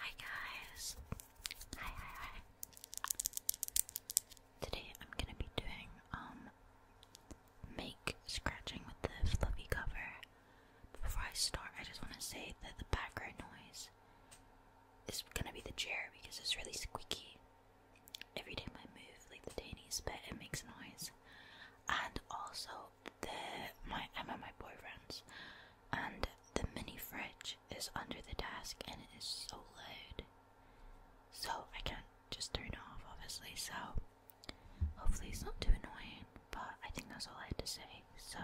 Hi guys! Hi hi hi! Today I'm gonna be doing um make scratching with the fluffy cover. Before I start, I just want to say that the background noise is gonna be the chair because it's really squeaky. Every time I move, like the tiniest bit, it makes noise. And also, the my I'm my boyfriend's, and the mini fridge is under the desk, and it is so loud, so I can't just turn it off, obviously. So hopefully it's not too annoying, but I think that's all I had to say. So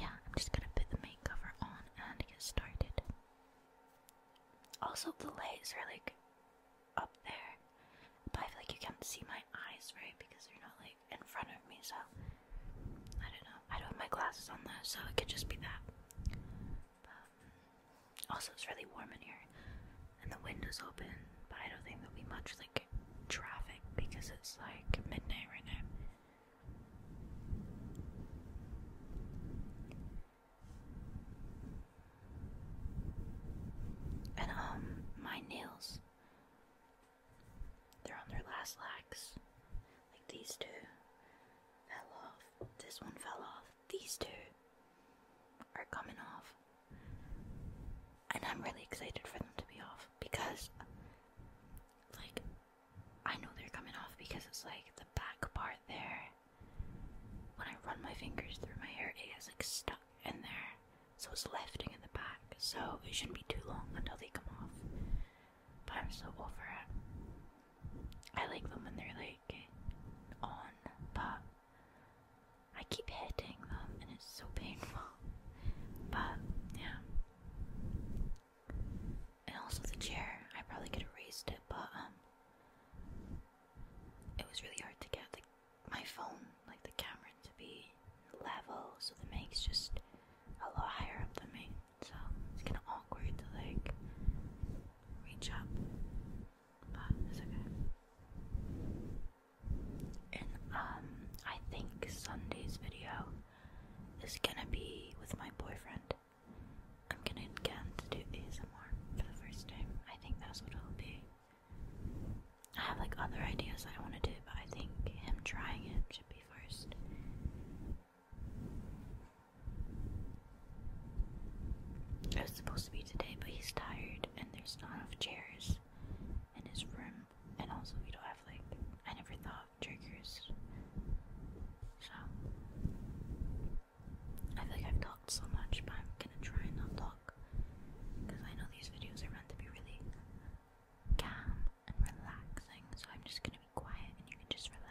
yeah, I'm just gonna put the makeup cover on and get started. Also, the lights are like up there. But I feel like you can't see my eyes, right? Because they're not like in front of me, so I don't know. I don't have my glasses on though, so it could just be that. also, it's really warm in here, and the window's open, but I don't think there'll be much like traffic because it's like midnight right now. And um, my nails, they're on their last legs. Like these two fell off. This one fell off. These two are coming off. And I'm really excited for them to be off because, like, I know they're coming off because it's like the back part there. When I run my fingers through my hair, it gets like stuck in there, so it's lifting in the back, so it shouldn't be too long until they come off. But I'm so over it. I like them when they're like on, but I keep hitting them and it's so painful. But yeah. And also the chair, I probably could have raised it, but um it was really hard to get my phone, like the camera, to be level, so the mic's just a little higher up than me. So it's kind of awkward to like reach up, but it's okay. And um, I think Sunday's video is gonna be with my boyfriend. I'm gonna get him to do more for the first time. I think that's what it'll be. I have like other ideas I want to do, but I think him trying it should be first. It was supposed to be today, but he's tired and there's not enough chairs in his room, and also we don't have like I never thought of triggers. So I feel like I've talked so much, but I'm gonna try and not talk because I know these videos are meant to be really calm and relaxing, so I'm just gonna be quiet and you can just relax.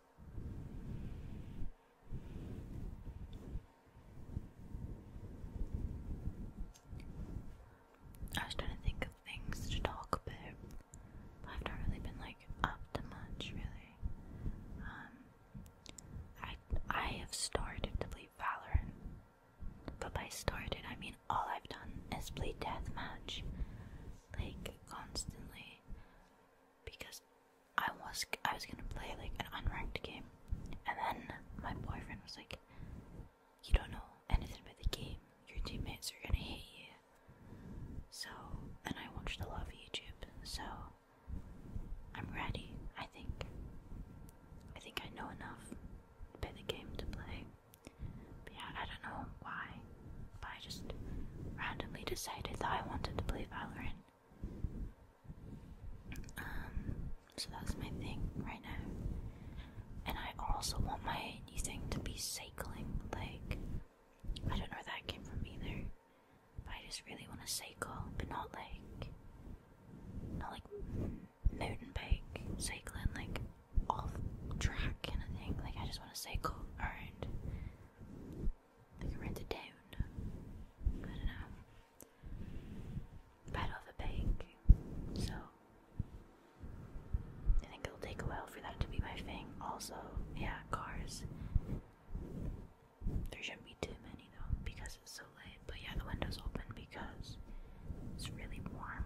I was trying to think of things to talk about. I've not really been like up to much, really. Um, I I have started to play Valorant, but by started I mean all I've done is play deathmatch, like constantly because I was I was gonna play like an unranked game, and then my boyfriend was like, "You don't know anything about the game. Your teammates are gonna hate you." So then I watched a lot of YouTube. So I'm ready. I think. I think I know enough about the game to play yeah, I don't know why, but I just randomly decided that I wanted to play Valorant. Um, so that's my thing right now. And I also want my new thing to be cycling. Like, I don't know where that came from either, but I just really want to cycle, but not like, not like mountain bike cycling, like off track and a thing. Like I just want to cycle around, like around the town. I don't know. But I don't so I think it'll take a while for that to be my thing. Also, yeah, cars. There shouldn't be too many though because it's so late. But yeah, the window's open because it's really warm.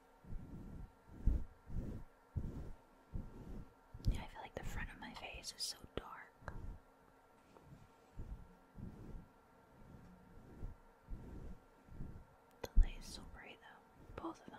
I feel like the front of my face is so dark. The light is so bright, though. Both of them.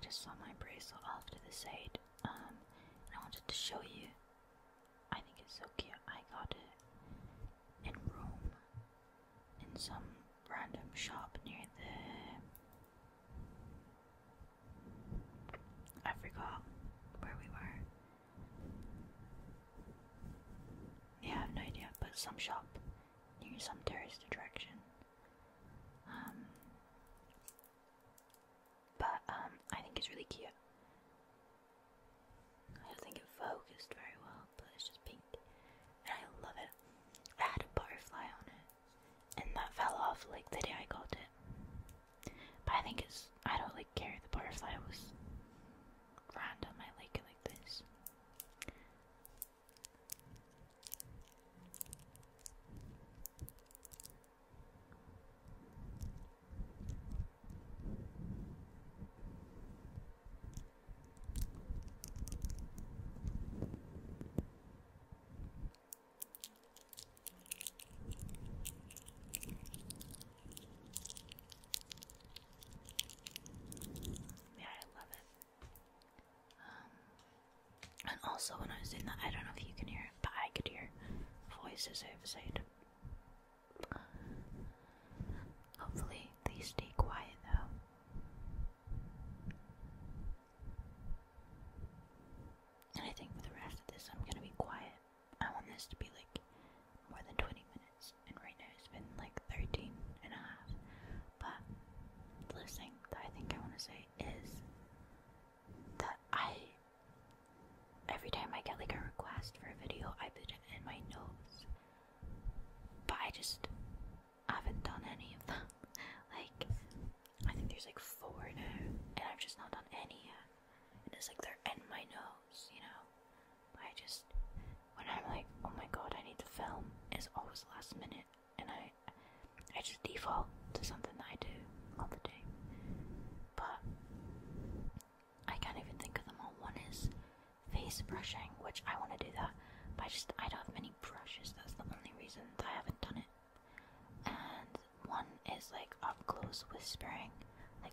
Just saw my bracelet off to the side, um, I wanted to show you. I think it's so cute. I got it in Rome, in some random shop near the. I forgot where we were. I have no idea, but some shop near some tourist attraction. Um, but um, I think it's really cute. I don't think it focused very well, but it's just pink, and I love it. I had a butterfly on it, and that fell off like the day I got it. But I think it's I don't like like carry the butterfly was random. I like it like this. Yeah, I love it. Um, and also when I was doing that, I don't know if you can hear it, but I could hear voices outside. Hopefully they stay quiet though. And I think for the rest of this, I'm gonna be quiet. I want this to be like more than 20 minutes, and right now it's been like 13 and a half. But the last thing that I think I want to say is that I, every time I get like a request for a video, I put it in my notes, but I just haven't done any of them. like, I think there's like four now, and I've just not done any yet. And it's like they're in my notes, you know? I just when I'm like, oh my god, I need to film, it's always last minute, and I I just default to something that I do all the day. But I can't even think of them all. One is face brushing, which I want to do that, but I just I don't have many brushes. That's the only reason I haven't done it. And one is like up close whispering, like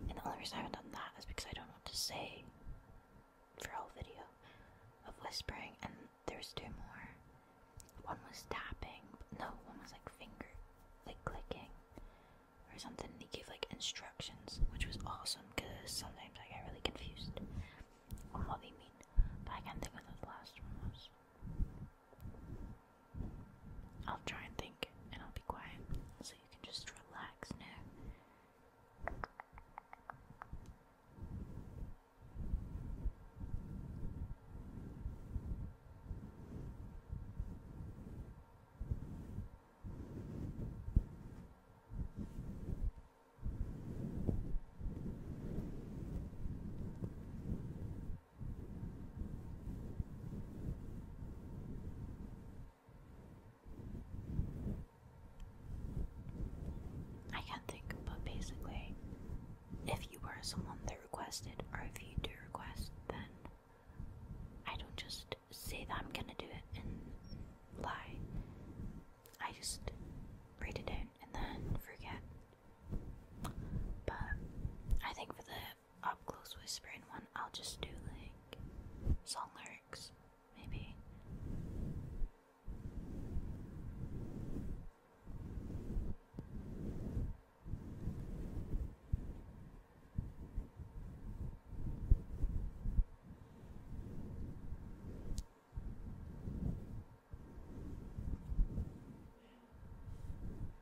And the only reason I haven't done that is because I don't know what to say for a whole video of whispering. And there's two more. One was tapping. No, one was like finger, like clicking or something. They gave like instructions, which was awesome because sometimes I get really confused on what they mean. But I can't think of what the last one was. I'll try and think and I'll be quiet so you can just relax now. I can't think, but basically, if you were someone that requested, or if you do request, then I don't just say that I'm gonna do it and lie. I just read it out and then forget. But I think for the up close whispering one. I'll just do like song lyrics, maybe.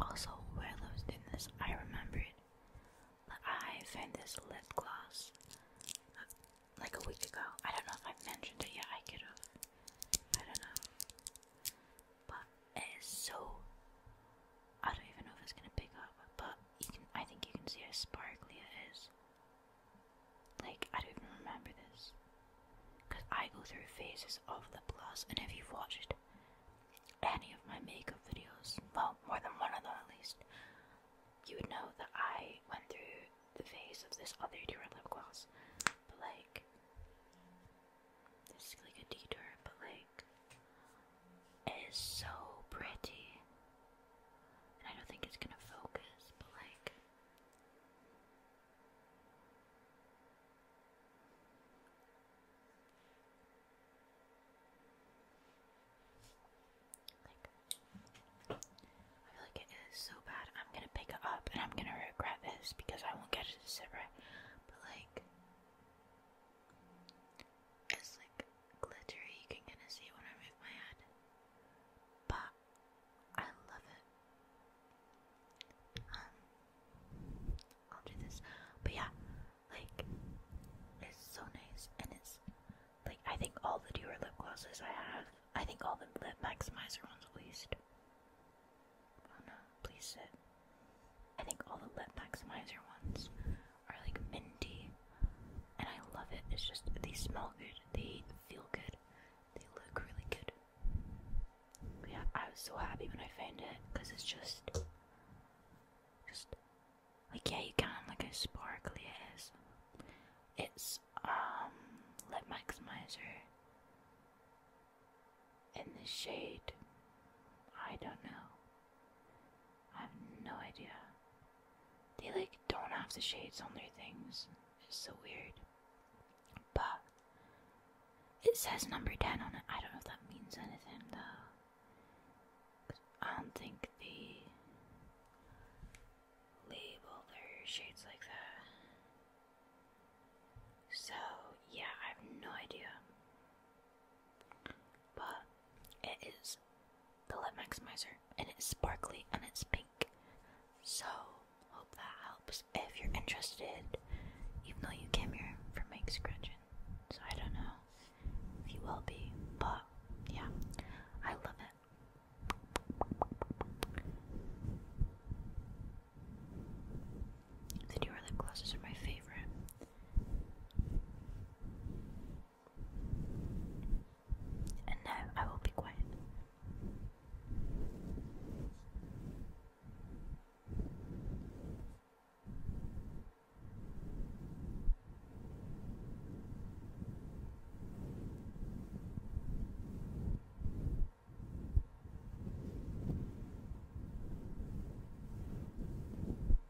Also, while I was doing this, I remembered that I found this lip gloss uh, like a week ago. I don't know if I mentioned it yet, I could have. I don't know. But it is so I don't even know if it's gonna pick up, but you can I think you can see how sparkly it is. Like I don't even remember this. Cause I go through phases of the gloss and if you've watched any of my makeup videos, well, more than one of them at least, you would know that I went through the phase of this other different lip gloss. But like this is like a detour, but like it's so pretty. And I don't think it's gonna focus, but like. I feel like it is so bad. I'm gonna pick up and I'm gonna regret this because I won't get it to But, like, it's like glittery, you can kinda see it when I move my head. But I love it. Um I'll do this. But yeah, like it's so nice and it's like I think all the Dior lip glosses I have, I think all the lip maximizer ones at least. Oh no, please sit. I think all the lip maximizer ones are like minty, and I love it. It's just they smell good, they feel good, they look really good. yeah, I was so happy when I found it because it's just, just like yeah, you can like how sparkly it is. It's um lip maximizer in the shade. I don't know. I have no idea. They like don't have the shades on their things. It's so weird. But it says number 10 on it. I don't know if that means anything though. I don't think they label their shades like that. So yeah, I have no idea. But it is the Lip Maximizer, and it's sparkly and it's pink. So, hope that helps if you're interested, even though you came here for Mike Scratchin. So, I don't know if you will be, but yeah, I love it. The newer lip glosses are my favorite. And now I will be quiet.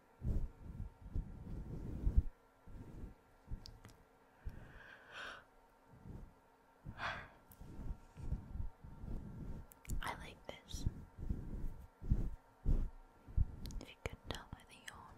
I like this. If you can tell by the yawn.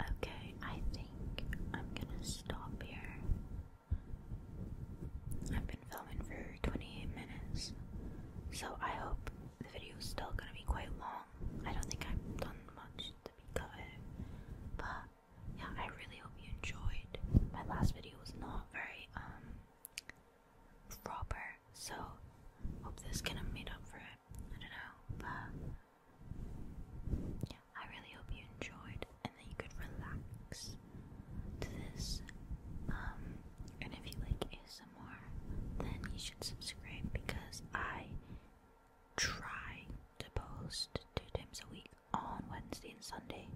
Okay, I think I'm gonna stop here. I've been filming for 28 minutes, so I hope the video is still gonna be quite long. I don't think I've done much to but yeah, I really hope you enjoyed. My last video was not very um, proper, so hope this kind of made up for it. I don't know, but yeah, I really hope you enjoyed and that you could relax to this. Um, and if you like it more, then you should subscribe because I try to post two times a week on Wednesday and Sunday.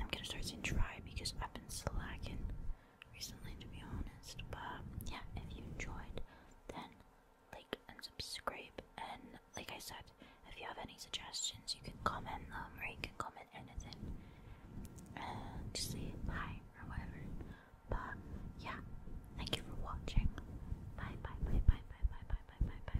I'm gonna start saying try because I've been slacking recently, to be honest. But yeah, if you enjoyed, then like and subscribe. And like I said, if you have any suggestions, you can comment them or you can comment anything. Uh, just say hi or whatever. But yeah, thank you for watching. Bye bye bye bye bye bye bye bye bye bye.